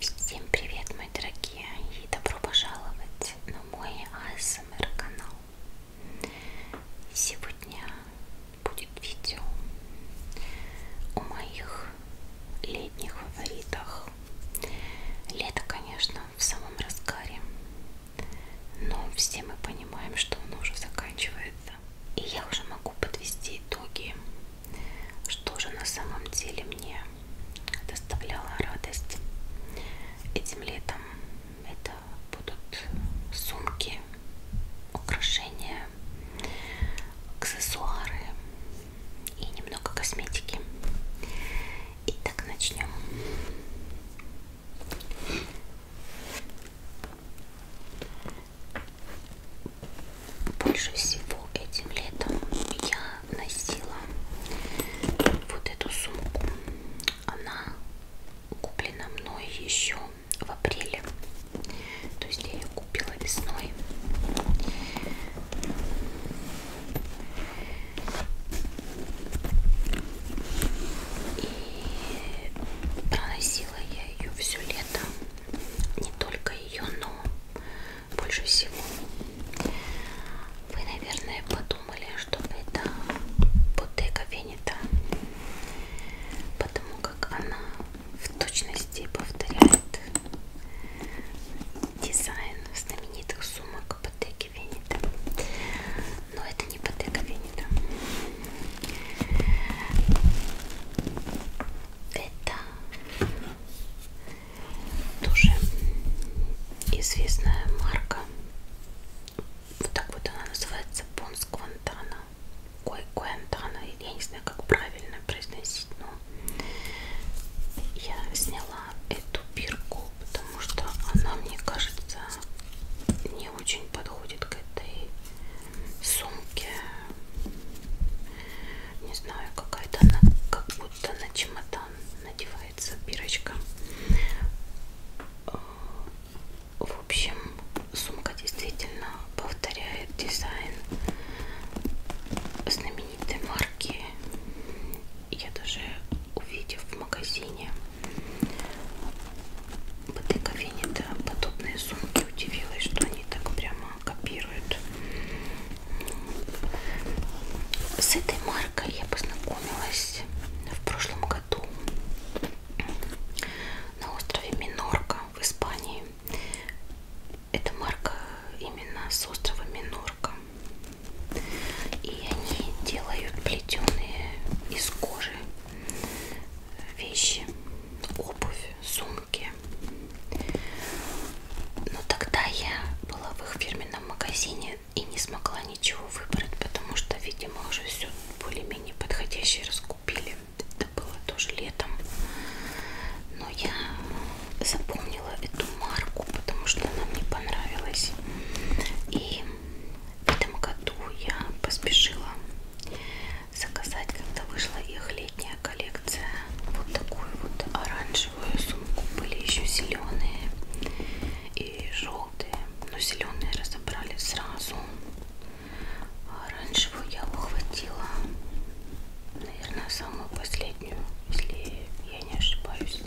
Всем привет, мои дорогие, и добро пожаловать на мой ASMR а канал. Сегодня будет видео о моих летних фаворитах. Лето, конечно, в самом разгаре, но все мы понимаем, что оно уже заканчивается. И я уже могу подвести итоги что же на самом деле мне доставляло радость этим летом? Это будут сумки, украшения, аксессуары и немного косметики. Итак, начнем больше всего этим летом я носила вот эту сумку. Она куплена мной еще в апреле. То есть я ее купила весной. И проносила я ее все лето. Не только ее, но больше всего. Вы, наверное, подумали, что это Bottega Veneta, потому как она в точности повторяет дизайн знаменитых сумок Bottega Veneta. Но это не Bottega Veneta. Это тоже известная марка. Вот так вот она называется Понс Квантана. Кой Куантана, я не знаю, как правильно произносить, но я сняла эту бирку, потому что она, мне кажется, не очень подходит к этой сумке не знаю, какая-то она как будто на чемодан надевается бирочка. Э, в общем, сумка действительно повторяет дизайн знаменитой марки. Я даже увидев в магазине Бутыка Венета подобные сумки удивилась, что они так прям копируют. С этой маркой я познакомилась в прошлом году на острове Минорка в Испании. Это марка именно с острова Минорка. И они делают плетеные из кожи вещи, обувь, сумки сумки. Но тогда я была в их фирменном магазине и не смогла ничего выбрать, потому что, видимо, уже все более-менее подходящее раскупили. Это было тоже летом. Но я запомнила эту марку, потому что она мне понравилась. И в этом году я поспешила заказать, когда вышла их летняя классная коллекция. Вот такую вот оранжевую сумку. Были еще зеленые и желтые. Но зеленые разобрали сразу. А оранжевую я ухватила. Наверное, самую последнюю, если я не ошибаюсь.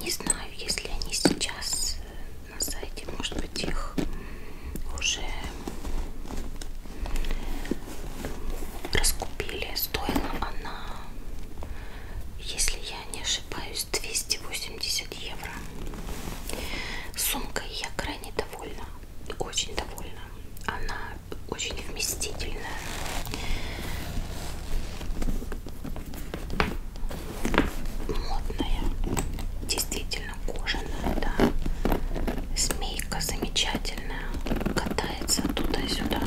Не знаю, если они сейчас э, на сайте, может быть, их уже раскупили. Стоила она, если я не ошибаюсь, 280 евро. Сумкой я крайне довольна, очень довольна. Она очень вместительная. Модная, действительно кожаная, да. Змейка замечательная удивительная. Катается туда-сюда.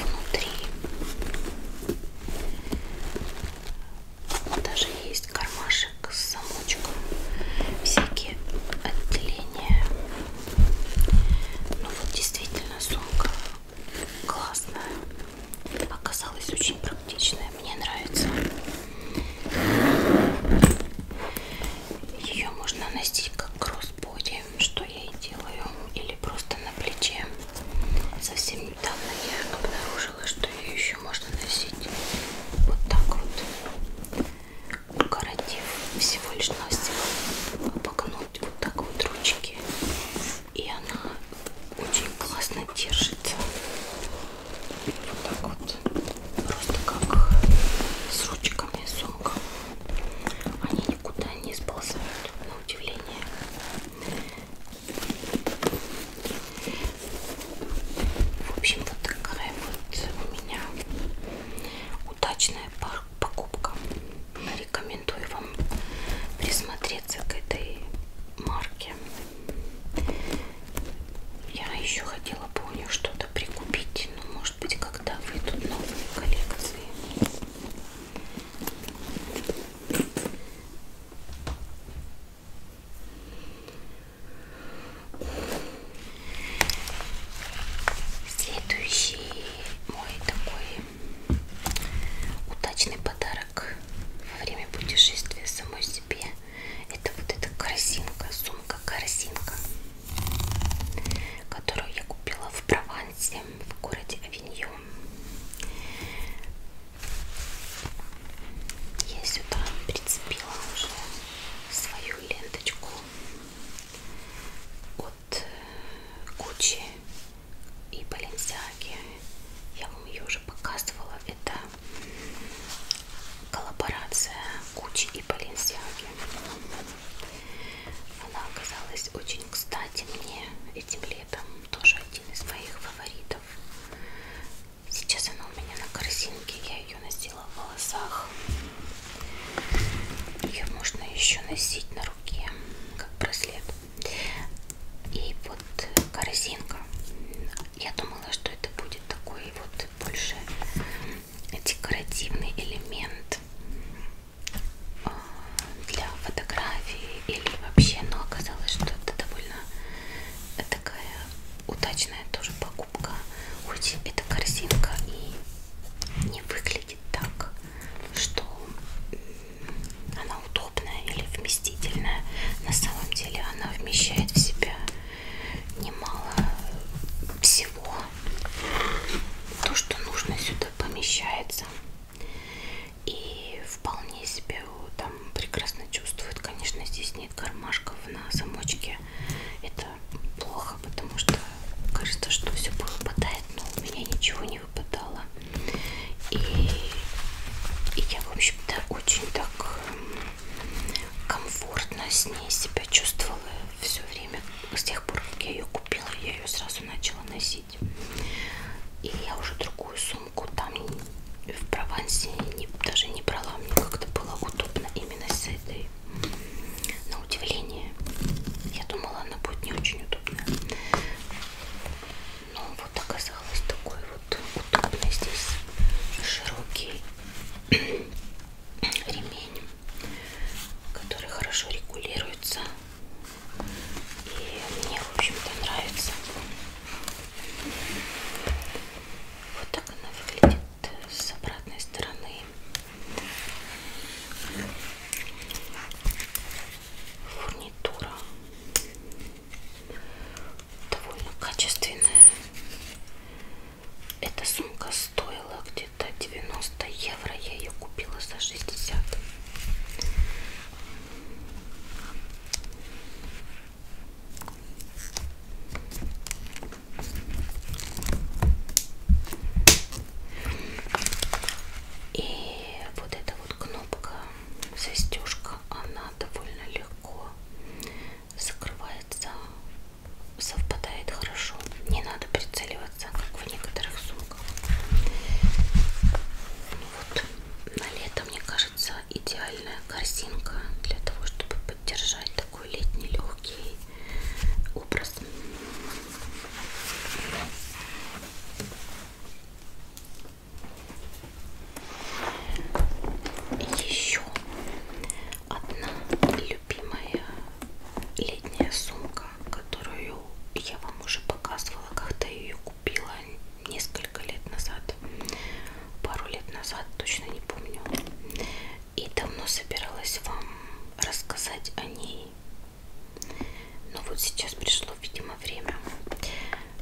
Внутри даже есть кармашек с замочком. Всякие отделения. Ну вот действительно сумка классная оказалась очень практичная, мне нравится. Ее можно носить как кроссбоди, что я и делаю, или просто на плече. Совсем недавно я обнаружила, что ее еще можно носить вот так вот, укоротив всего лишь навсего, обогнуть вот так вот ручки, и она очень классно держится. Вот так вот. Просто как с ручками сумка. Они никуда не сползают, на удивление. В общем, вот такая вот у меня удачная покупка. Рекомендую вам присмотреться к этой марке. Я еще хотела бы у нее что-то прикупить, но может быть когда выйдут новые коллекции. Следующий мой такой удачный подарок во время путешествия самой себе это вот эта корзинка, сумка-корзинка, которую я купила в Провансе, в городе Авиньон. Я сюда прицепила уже свою ленточку от э, Гуччи и Баленсиаги. Я вам ее уже показывала. Это коллаборация Кучи и Баленсиаги. Она оказалась очень кстати мне этим летом. Тоже один из моих фаворитов. Сейчас она у меня на корзинке. Я ее носила в волосах. Ее можно еще носить на руке, как браслет. И вот корзинка я думала, что это будет такой вот больше декоративный элемент а, для фотографии или вообще, но оказалось, что это довольно такая удачная тоже покупка. Хоть эта корзинка и не выглядит так, что она она удобная или вместительная. На самом деле она вмещает в себя немало всего. То, что нужно, сюда помещается. И вполне себе там прекрасно чувствует. Конечно, здесь нет кармашков на замочке. Это плохо, потому что кажется, что все выпадает, но у меня ничего не выпадало. И, и я, в общем-то, очень так комфортно с ней себя чувствовала все время. С тех пор, как я ее купила, я ее сразу начала носить. И я уже другую сумку там в Провансе не, даже не брала. Мне как-то было удобно именно с этой. На удивление. Я думала, она будет не очень удобная. Но ну, вот оказалось такой вот удобный здесь широкий ремень, который хорошо регулируется. И мне, в общем-то, нравится. Вот так она выглядит с обратной стороны. Фурнитура довольно качественная. Эта сумка стоила где-то 90 евро. Я ее купила за 60. И вот эта вот кнопка, застежка, она довольно легкая легко закрывается, совпадает хорошо. Не надо прицеливаться, как в некоторых сумках. Ну вот. На лето, мне кажется, идеальная корзинка для того, чтобы поддержать такой летний легкий образ. Еще одна любимая летняя сумка, которую я вам уже показывала, когда ее купила несколько лет назад, пару лет назад, точно не помню. И давно собиралась вам рассказать о ней. Но вот сейчас пришло, видимо, время.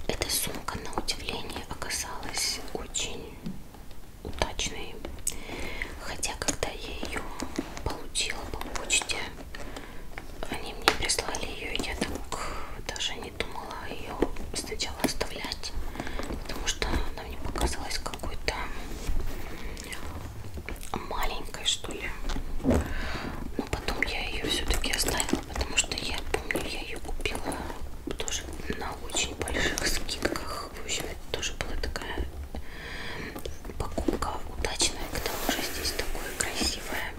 Эта сумка, на удивление, оказалась очень удачной. Хотя, когда я ее получила по почте, они мне прислали ее, я так даже не думала ее сначала оставлять, потому что она мне показалась какой-то маленькой, что ли. Но потом я ее все-таки оставила, потому что я помню, я ее купила тоже на очень больших скидках. В общем, это тоже была такая покупка удачная, к тому же здесь такое красивое,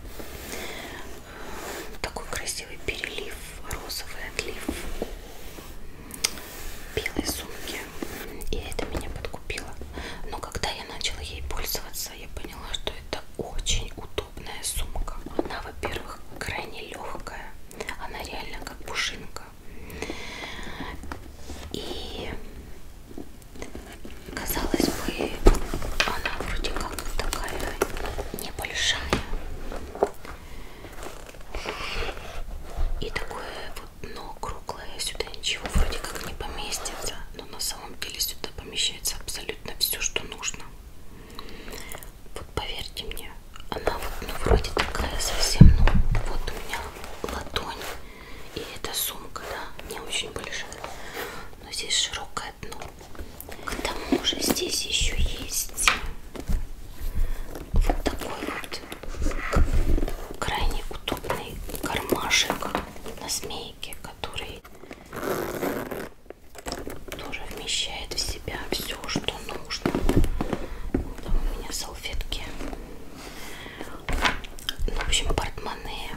э, такой красивый перелив, розовый отлив белой сумки. И это меня подкупило. Но когда я начала ей пользоваться, я поняла, что это очень удобная сумка. Она, во-первых, крайне легкая. Она реально как пушинка. И казалось бы, она вроде как такая небольшая. И такое вот дно круглое, сюда ничего вроде как не поместится, но на самом деле сюда помещается абсолютно все, что нужно. Вот поверьте мне, она вот ну, вроде такая совсем, ну вот у меня ладонь и эта сумка, да, не очень большая, но здесь широкое дно. Ну, к тому же здесь еще есть вот такой вот крайне удобный кармашек на змейке, который тоже вмещает в себя все, что нужно. Там у меня салфетки. Ну, в общем, портмоне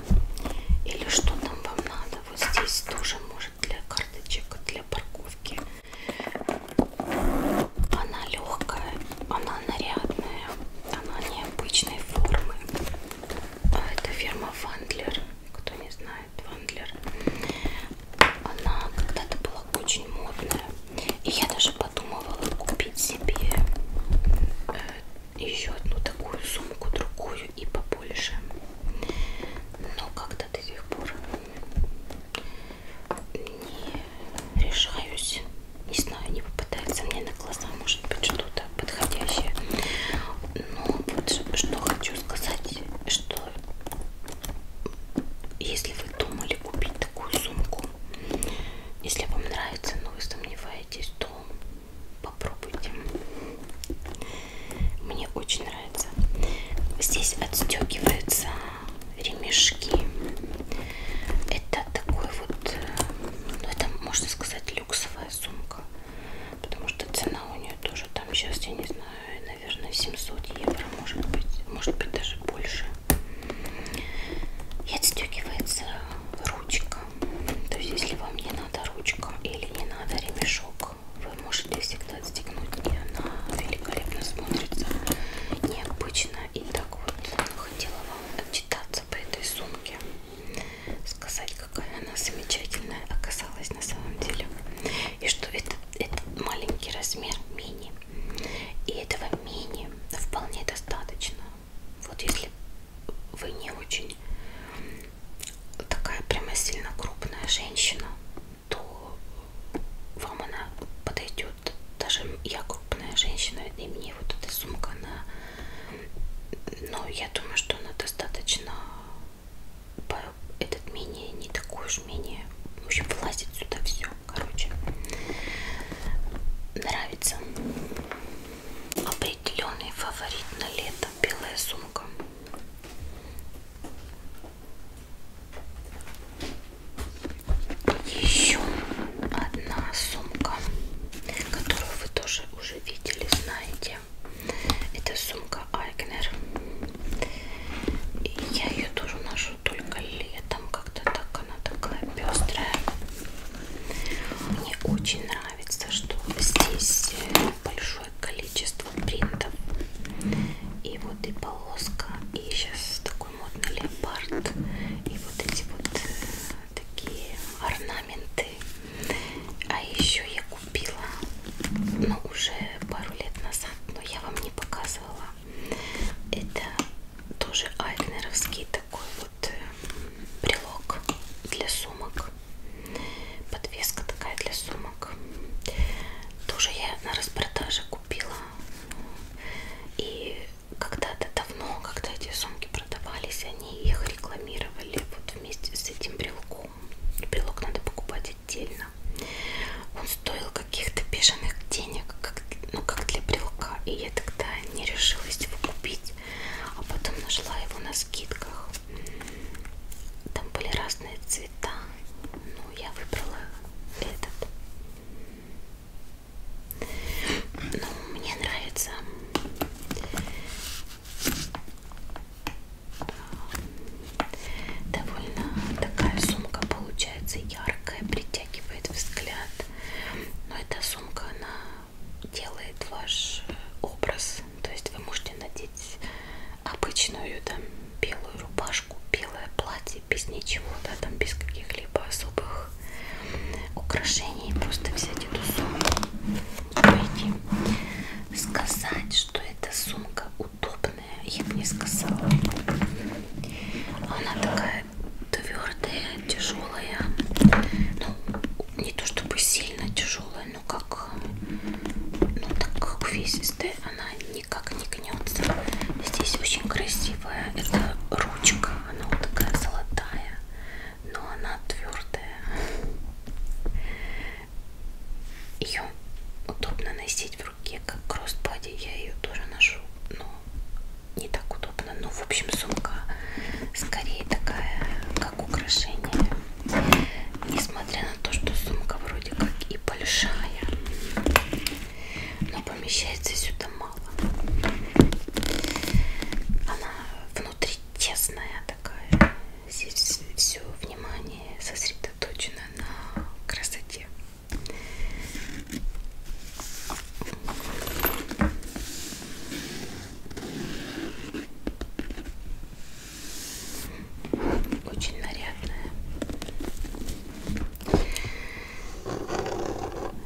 или что там вам надо. Вот здесь тоже может для карточек, для парковки. Она легкая, она нарядная, она необычной формы. А это фирма Вандлер кто не знает, Вандлер, она когда-то была очень модная. И я даже подумывала купить себе э, еще одну такую сумку, другую и побольше. Но как-то до сих пор не решаюсь. Не знаю, не попадается мне на глаза, может быть, что-то подходящее. Но вот что хочу сказать, что если вы думали купить такую сумку, если вам нравится, но вы сомневаетесь, то попробуйте. Мне очень нравится. Здесь отстегиваются ремешки. Это такой вот, э, ну это можно сказать люксовая сумка потому что цена у нее тоже там сейчас, я не знаю, наверное 700 евро, может быть, может быть даже больше. И отстегивается ручка, то есть если вам не надо ручка или не надо ремешок, вы можете всегда отстегнуть ее, она великолепно смотрится, необычно. И так вот хотела вам отчитаться по этой сумке, сказать, какая она замечательная оказалась на самом деле. И что это, это маленький размер мини. И этого мини вполне достаточно. Вот если вы не очень такая прямо сильно крупная женщина, то вам она подойдет. Даже я крупная женщина, и мне вот эта сумка, она, но ну, я думаю, что она достаточно этот мини не такой уж мини. В общем, влазит сюда все. Короче, нравится. Определенный фаворит на лето. Белая сумка. Еще одна сумка, которую вы тоже уже видели, знаете. Италии. Это сумка Айгнер. И я ее тоже ношу только летом. Как-то так она такая пестрая. Мне очень нравится, что здесь э, большое количество принтов. И вот и полоска, и сейчас такой модный леопард. И вот эти вот э, такие орнаменты. А еще я купила ну, уже пару лет назад, но я вам не показывала. Это тоже айкнеровский такой вот брелок э, для сумок. Подвеска такая для сумок. Тоже я на распродаже купила. И когда-то давно, когда эти сумки продавались, они их рекламировали вот вместе с этим брелком. Брелок надо покупать отдельно. Он стоил каких-то бешеных денег, как, ну как для брелка. И я тогда не решилась его купить, а потом нашла его на скидках. Там были разные цвета, но я выбрала этот. Ну, мне нравится Довольно такая сумка получается яркая, притягивает взгляд. Но эта сумка, она делает ваш э, образ. То есть вы можете надеть обычную там белую рубашку, белое платье, без ничего, да, там без каких-либо особых украшений. Просто взять эту сумку, пойти сказать, что эта сумка удобная, я бы не сказала. Она такая твердая, тяжелая. Ну, не то чтобы сильно тяжелая, но как ну так увесистая, она никак не гнется. Здесь очень красивая. Это ручка, она вот такая золотая, но она твердая. Ее удобно носить в руке, как кроссбади. Я ее тоже ношу, но не так удобно. Ну, в общем, сумка скорее такая, как украшение. Несмотря на то, что сумка вроде как и большая, но помещается сюда мало. Она внутри тесная такая. Здесь все внимание сосредоточено на красоте. Очень нарядная.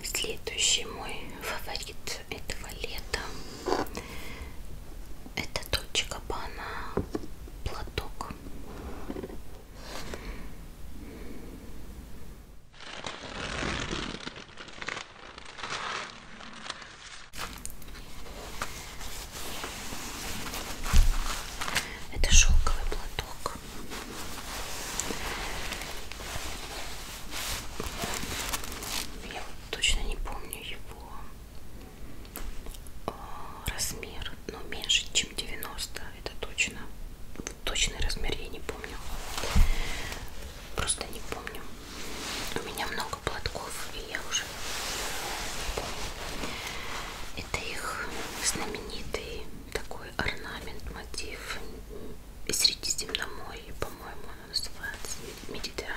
Следующий мой фаворит этого лета это точка бы она платок. Это шелковый платок. Я вот точно не помню его размер, но ну, меньше, чем 90, это точно. Точный размер я не помню. Просто не помню. У меня много платков, и я уже Это их знаменитый такой орнамент, мотив Средиземноморье, по-моему, он называется. Медитиана.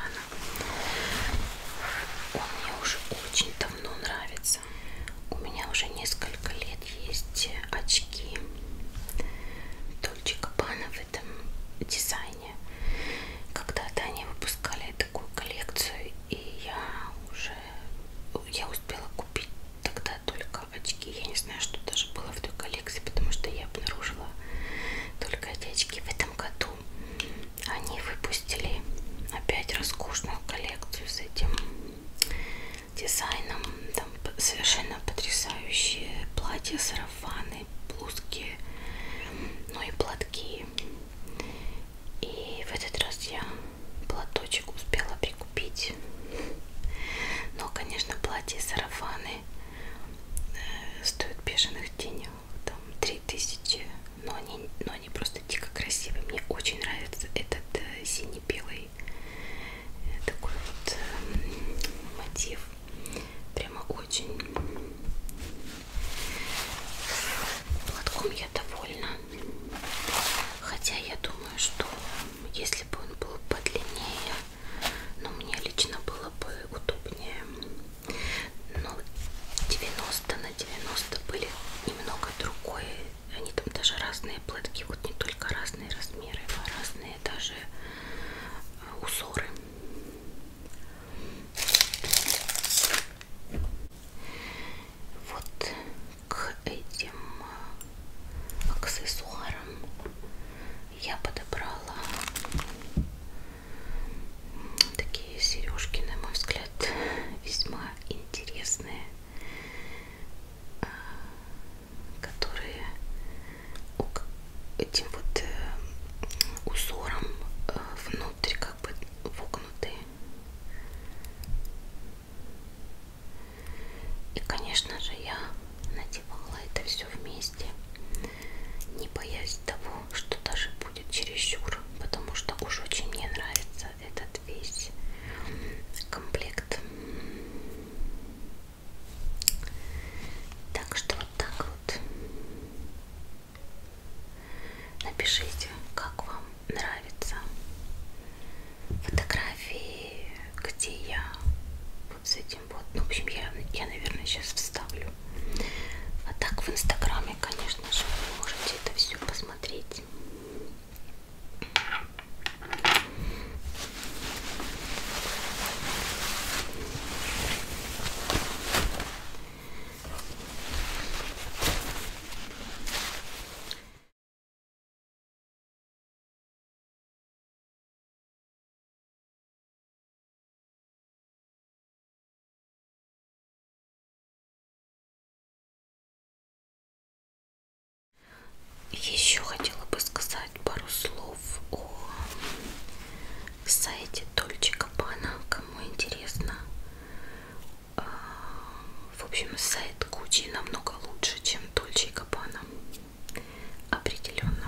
Он мне уже очень давно нравится. У меня уже несколько лет есть очки Дольче Кабана в этом дизайне. Когда-то они выпускали такую коллекцию, и я уже я успела купить тогда только очки. Я не знаю, что даже было в той коллекции, потому что я обнаружила только эти очки в этом году они выпустили опять роскошную коллекцию с этим дизайном. Там совершенно потрясающие платья, сарафаны, блузки, ну и платки. И в этот раз я платочек успела прикупить. Но, конечно, платья и сарафаны э, стоят бешеных денег там 3000, но они, но они просто дико красивые. Мне очень нравится этот э, синий-белый э, такой вот эм, мотив. Прямо очень. Платком я довольна. Хотя я думаю, что если бы он был подлиннее, но ну, мне лично было бы удобнее ну, Но 90 на 90 были немного другое. Они там даже разные платки, вот не только разные размеры, а разные даже э, узоры. Вот к этим э, аксессуарам я подобрала Такие сережки, на мой взгляд, весьма интересные, а, которые этим вот э, узором э, внутрь как бы вогнуты. И, конечно же, я надевала это все вместе не боясь того, что даже будет чересчур, потому что уж очень мне нравится этот весь комплект. Так что вот так вот. Напишите, как вам нравятся фотографии, где я вот с этим вот. Ну, в общем, я, я наверное, сейчас вставлю а так в инстаграме, конечно же, вы можете это все посмотреть. Еще хотела бы сказать пару слов о сайте Дольче Кабана, кому интересно. А, в общем, сайт Гуччи намного лучше, чем Дольче Кабана. Определенно.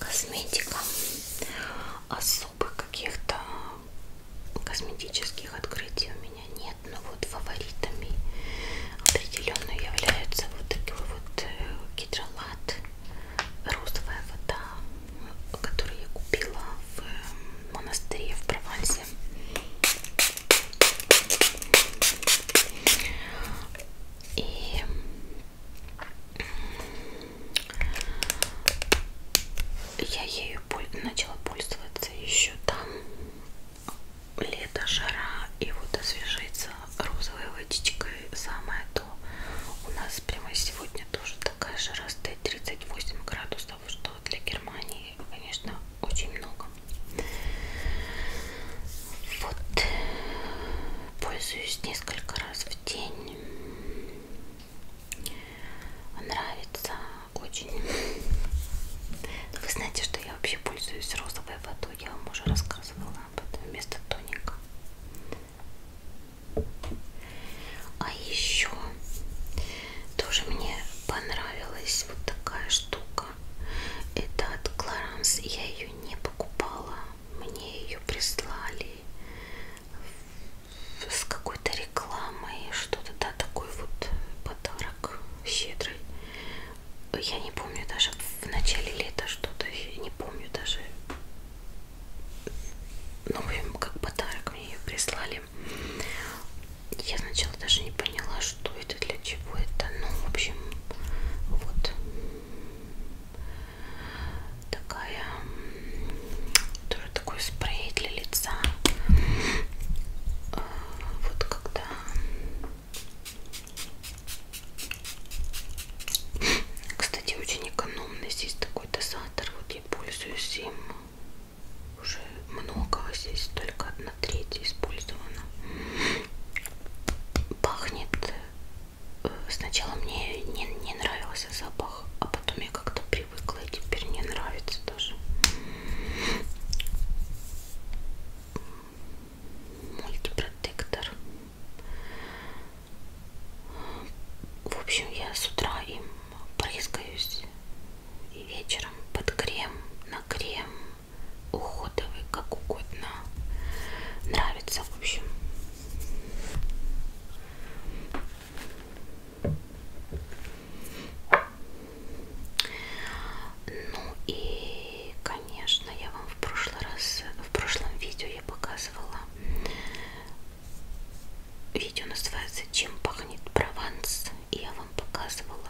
косметика особых а каких-то косметических открытий у меня нет но вот фаворитами определенно являются вот такой вот э, гидролат розовая вода который я купила в э, монастыре в Провансе и я ею начала пользоваться еще там лето, жара, и вот освежиться розовой водичкой самое то. У нас прямо сегодня тоже такая жара стоит 38 градусов, что для Германии, конечно, очень много. Вот. Пользуюсь несколько раз в день. Нравится очень. Но вы знаете, что я вообще пользуюсь розовой водой. Я вам уже рассказывала об этом вместо тоника. А еще тоже мне понравилась вот такая штука. Это от Clarins. Я ее ее не покупала, мне ее прислали с какой-то рекламой, что-то, да, такой вот подарок щедрый. Я не помню даже в начале лета что-то, не помню даже. Ну, как подарок мне ее прислали. Я сначала даже не поняла, что это, для чего это. Ну, в общем, вот такая тоже такой спрей для лица. А, вот когда кстати, очень экономный здесь такой дозатор. Вот я пользуюсь им уже много. Здесь только одна наверное, третье использовано. Пахнет. Э, сначала мне не, не нравился запах, а потом я как-то привыкла и теперь не нравится даже. Мультипротектор. В общем, я с утра им брызгаюсь и вечером под крем, на крем, уходовый, как угодно. Нравится, в общем. Ну и, конечно, я вам в прошлый раз, в прошлом видео я показывала. Видео называется «Чем пахнет Прованс?» И я вам показывала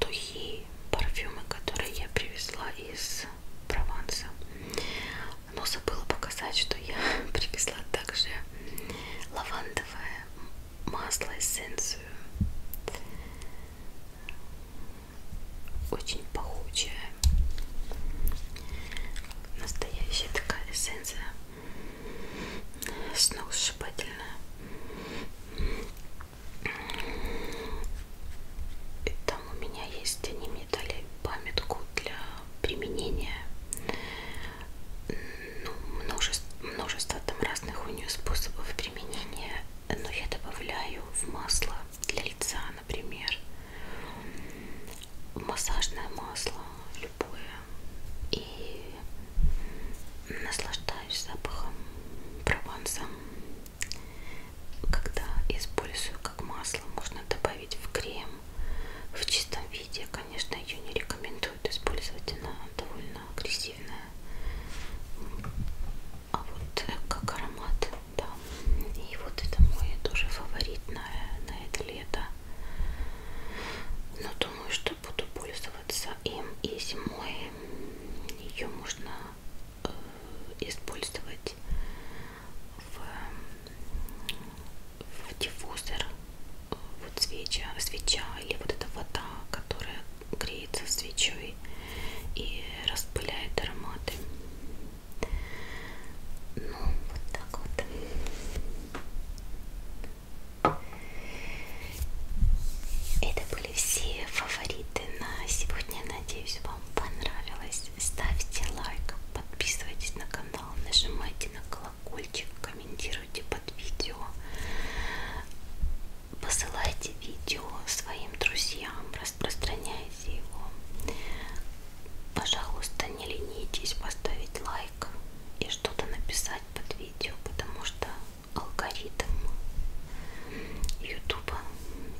духи, парфюмы, которые я привезла из Прованса. Но забыла показать, что я привезла также лавандовое масло эссенцию. Очень пахучая. Настоящая такая эссенция. Сногсшибательная. И там у меня есть, они мне дали памятку для применения. Ну, множество, множество там разных у нее способов применения. Но я добавляю в масло для лица, например, массажное масло любое. И наслаждаюсь запахом прованса когда использую как масло, можно добавить в крем. В чистом виде, конечно, ее не рекомендуют использовать, она довольно агрессивная. А вот э, как аромат, да. И вот это мой тоже фаворит на, на это лето. Но думаю, что буду пользоваться им и зимой. Ее можно использовать в, в диффузор вот свеча, свеча или вот эта вода, которая греется свечой и распыляет ароматы. Ну, вот так вот. Это были все фавориты на сегодня. Надеюсь, вам понравилось. Ставьте лайк, подписывайтесь на канал, нажимайте на колокольчик, комментируйте под видео, посылайте видео своим друзьям, распространяйте его. Пожалуйста, не ленитесь поставить лайк и что-то написать под видео, потому что алгоритм ютуба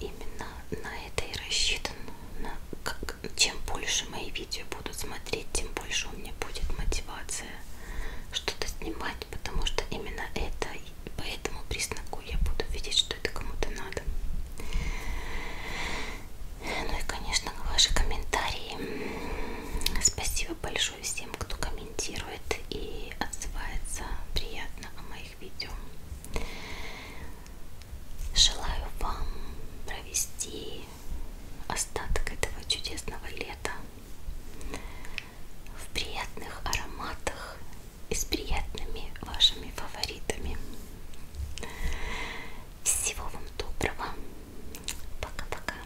именно на это и рассчитан на как, чем больше мои видео будут смотреть тем больше у меня будет мотивация что-то снимать потому что именно это и по этому признаку я буду видеть что это кому-то надо ну и конечно ваши комментарии спасибо большое всем кто комментирует и отзывается приятно о моих моих видео. Желаю вам провести остаток этого чудесного лета в приятных ароматах и с приятными вашими фаворитами. Всего вам доброго. Пока-пока.